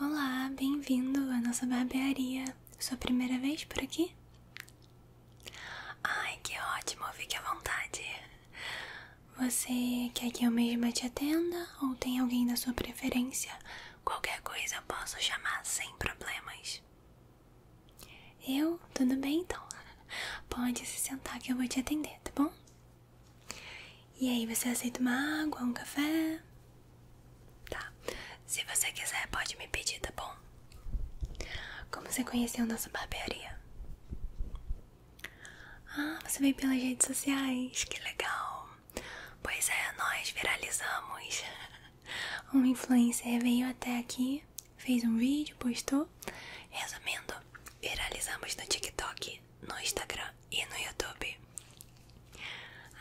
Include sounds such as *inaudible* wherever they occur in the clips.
Olá, bem-vindo à nossa barbearia. Sua primeira vez por aqui? Ai, que ótimo, fique à vontade. Você quer que eu mesma te atenda ou tem alguém da sua preferência? Qualquer coisa eu posso chamar sem problemas. Eu? Tudo bem então? Pode se sentar que eu vou te atender, tá bom? E aí, você aceita uma água, um café? Tá. Se você quiser, pode me pedir, tá bom? Como você conheceu nossa barbearia? Ah, você veio pelas redes sociais, que legal. Pois é, nós viralizamos. *laughs* Um influencer veio até aqui, fez um vídeo, postou. Resumindo, viralizamos no TikTok no Instagram e no YouTube.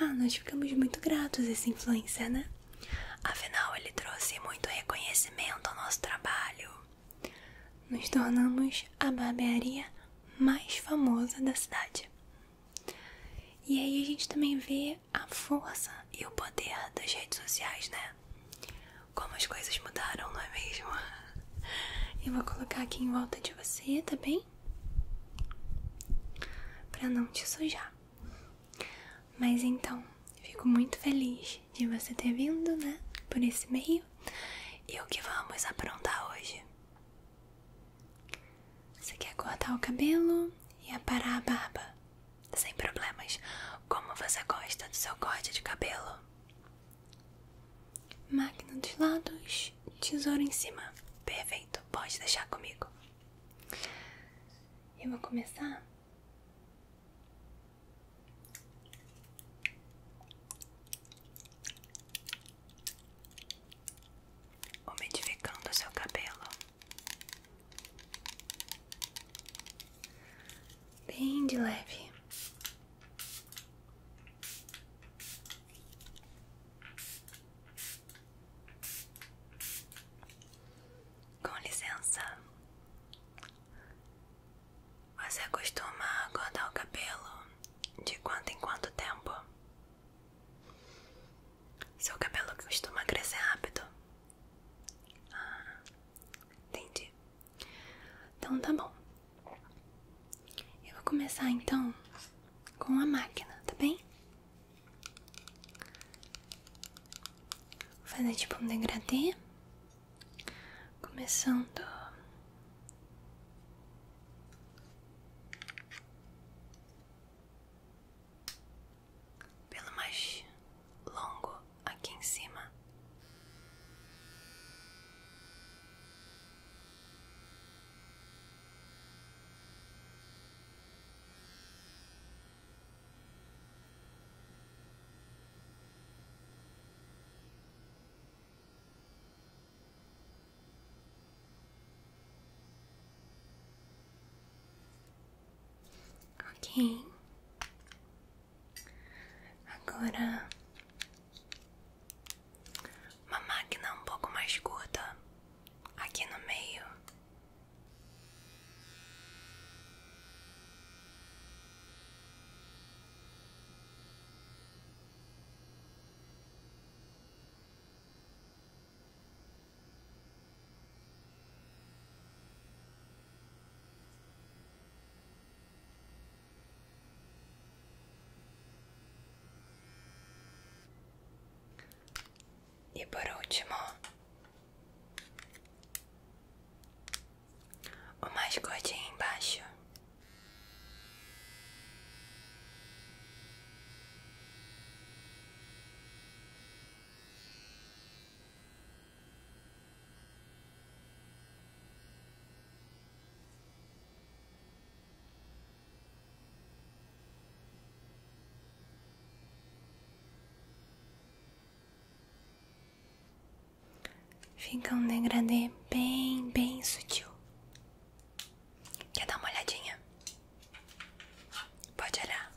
Ah, nós ficamos muito gratos a esse influencer, né? Afinal, ele trouxe muito reconhecimento ao nosso trabalho. Nos tornamos a barbearia mais famosa da cidade. E aí a gente também vê a força e o poder das redes sociais, né? Como as coisas mudaram, não é mesmo? *laughs* Eu vou colocar aqui em volta de você, tá bem? pra não te sujar. Mas então, fico muito feliz de você ter vindo, né? Por esse meio. E o que vamos aprontar hoje? Você quer cortar o cabelo e aparar a barba? Sem problemas. Como você gosta do seu corte de cabelo? Máquina dos lados, tesouro em cima. Perfeito, pode deixar comigo. Eu vou começar. Umidificando o seu cabelo, bem de leve. Com licença, você costuma cortar o cabelo de quanto em quanto tempo? Seu cabelo costuma crescer rápido? Ah, entendi. Então tá bom. Eu vou começar então com a máquina, tá bem? Vou fazer tipo um degradê, começando pelo mais longo aqui em cima. Ok, agora uma máquina um pouco mais curta aqui no meio. E por último, o mais gordinho embaixo. Fica um degradê bem, bem sutil. Quer dar uma olhadinha? Pode olhar.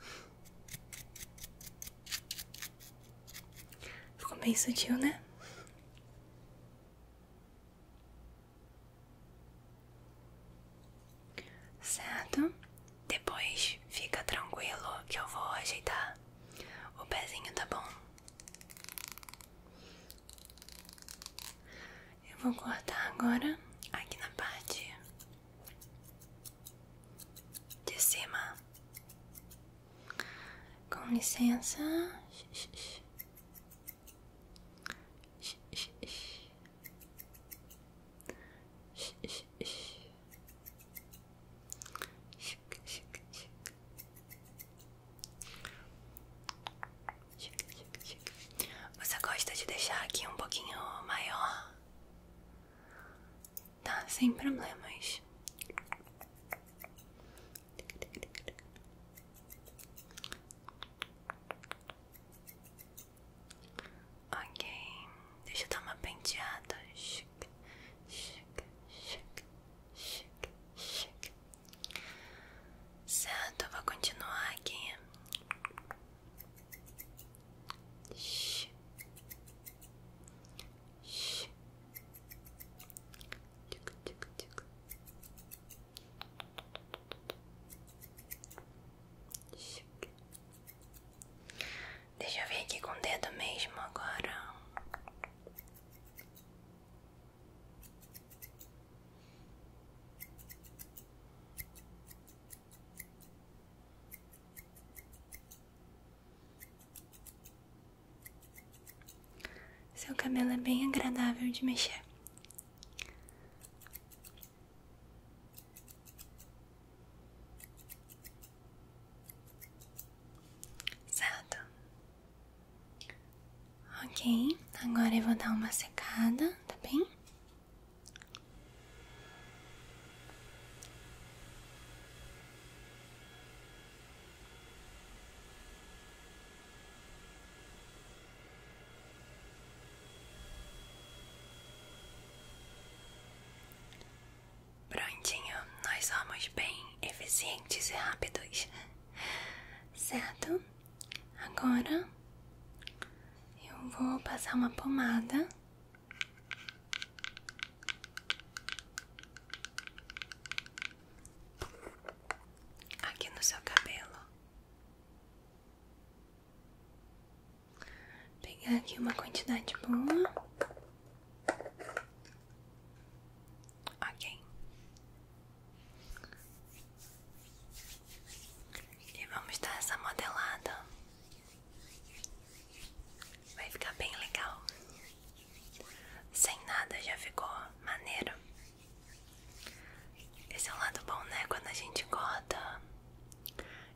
Ficou bem sutil, né? Certo? Depois fica tranquilo que eu vou ajeitar o pezinho, tá bom? Eu vou cortar agora aqui na parte de cima. Com licença. Você gosta de deixar aqui um pouquinho maior? Tá, sem problemas. Ok, deixa eu dar uma penteada. Chica, chica, chica, chica, chica. Certo, vou continuar aqui. Sh Sh tic, Deixa eu ver aqui com dedo mesmo agora. Seu cabelo é bem agradável de mexer. Certo? Ok, agora eu vou dar uma secada, tá bem? Prontinho, nós somos bem eficientes e rápidos, certo? Agora eu vou passar uma pomada. Aqui no seu cabelo, Pegar aqui uma quantidade boa. Ok. E vamos dar essa modelada. Vai ficar bem legal. Sem nada já ficou maneiro. Esse é um lado bom, né? Quando a gente corta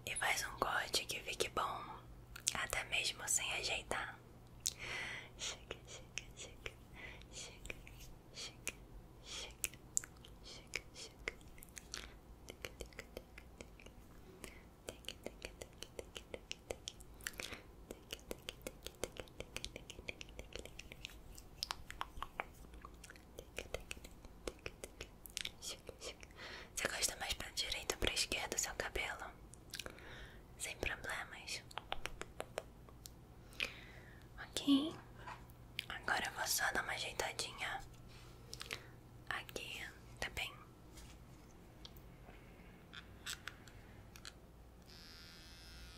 e faz um corte que fique bom, até mesmo sem ajeitar. Você gosta mais pra direita ou pra esquerda o seu cabelo? Sem problemas. Ok. Agora eu vou só dar uma ajeitadinha aqui, tá bem?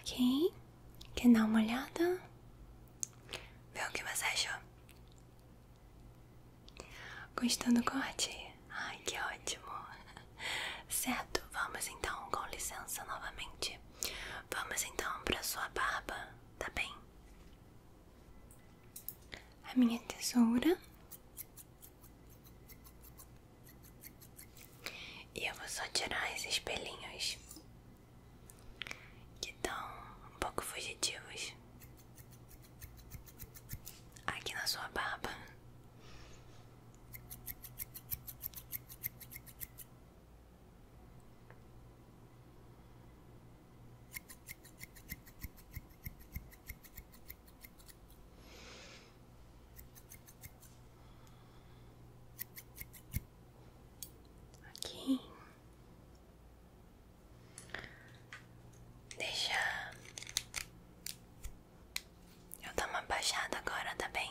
Ok? Quer dar uma olhada? Vê o que você achou. Gostou do corte? Ai, que ótimo! *laughs* Certo, vamos então, com licença novamente. Vamos então para sua barba, tá bem? A minha tesoura. E eu vou só tirar esses pelinhos que estão um pouco fugitivos aqui na sua barba. Aqui. Deixa eu dar uma baixada agora, tá bem?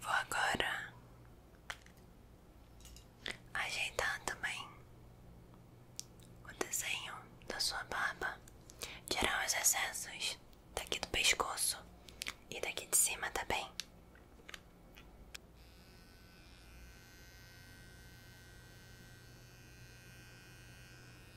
Vou agora ajeitar também o desenho da sua barba, tirar os excessos daqui do pescoço e daqui de cima também. Tá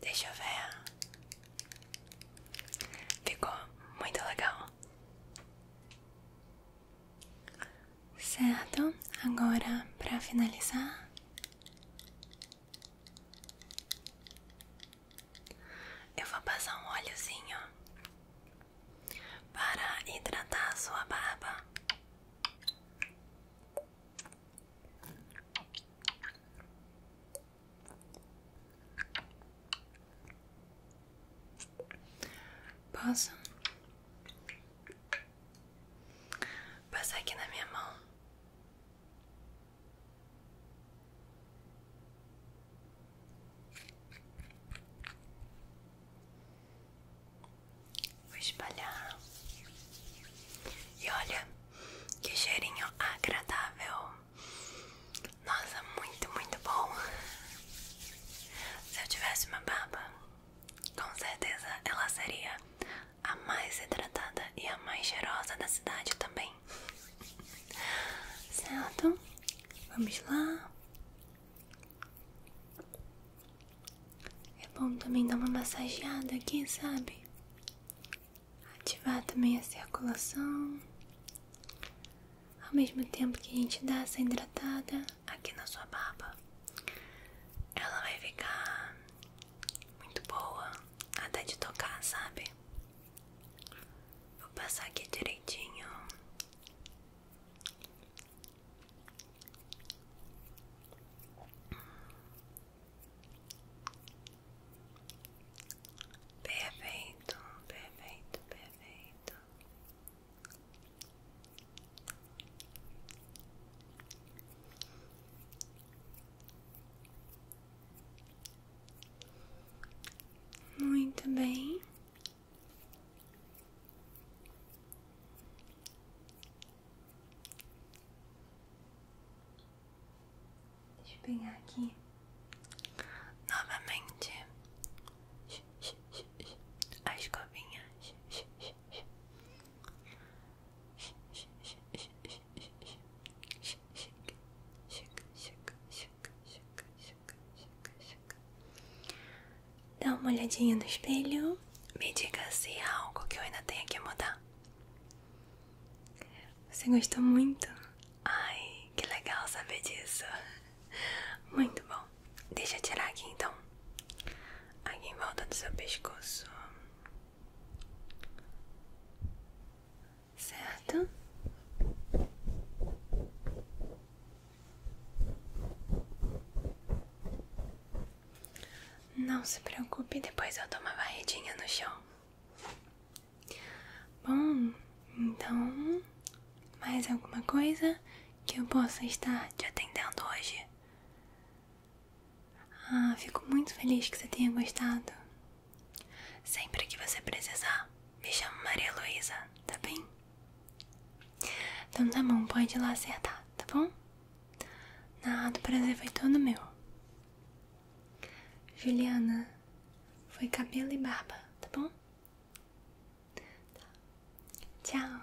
Deixa eu ver. Ficou muito legal. Certo, agora para finalizar, eu vou passar um óleozinho para hidratar a sua barba. Posso passar aqui na minha mão? Vou espalhar. E olha que cheirinho agradável. Nossa, muito, muito bom. Se eu tivesse uma baba, com certeza ela seria a mais hidratada e a mais cheirosa da cidade também. Certo? Vamos lá. É bom também dar uma massageada aqui, sabe? Ativar também a circulação. Ao mesmo tempo que a gente dá essa hidratada aqui na sua barba, ela vai ficar muito boa até de tocar, sabe? Vou passar aqui direitinho. Perfeito, perfeito, perfeito. Muito bem. Deixa pegar aqui novamente a escovinha. Dá uma olhadinha no espelho, me diga se há algo que eu ainda tenha que mudar. Você gostou muito? Ai, que legal saber disso. Muito bom. Deixa eu tirar aqui então. Aqui em volta do seu pescoço. Certo? Não se preocupe, depois eu dou uma varredinha no chão. Bom, então, mais alguma coisa que eu possa estar te atendendo hoje? Ah, fico muito feliz que você tenha gostado. Sempre que você precisar, me chamo Maria Luísa, tá bem? Então tá bom, pode ir lá acertar, tá bom? Nada, o prazer foi todo meu. Juliana, foi cabelo e barba, tá bom? Tá. Tchau.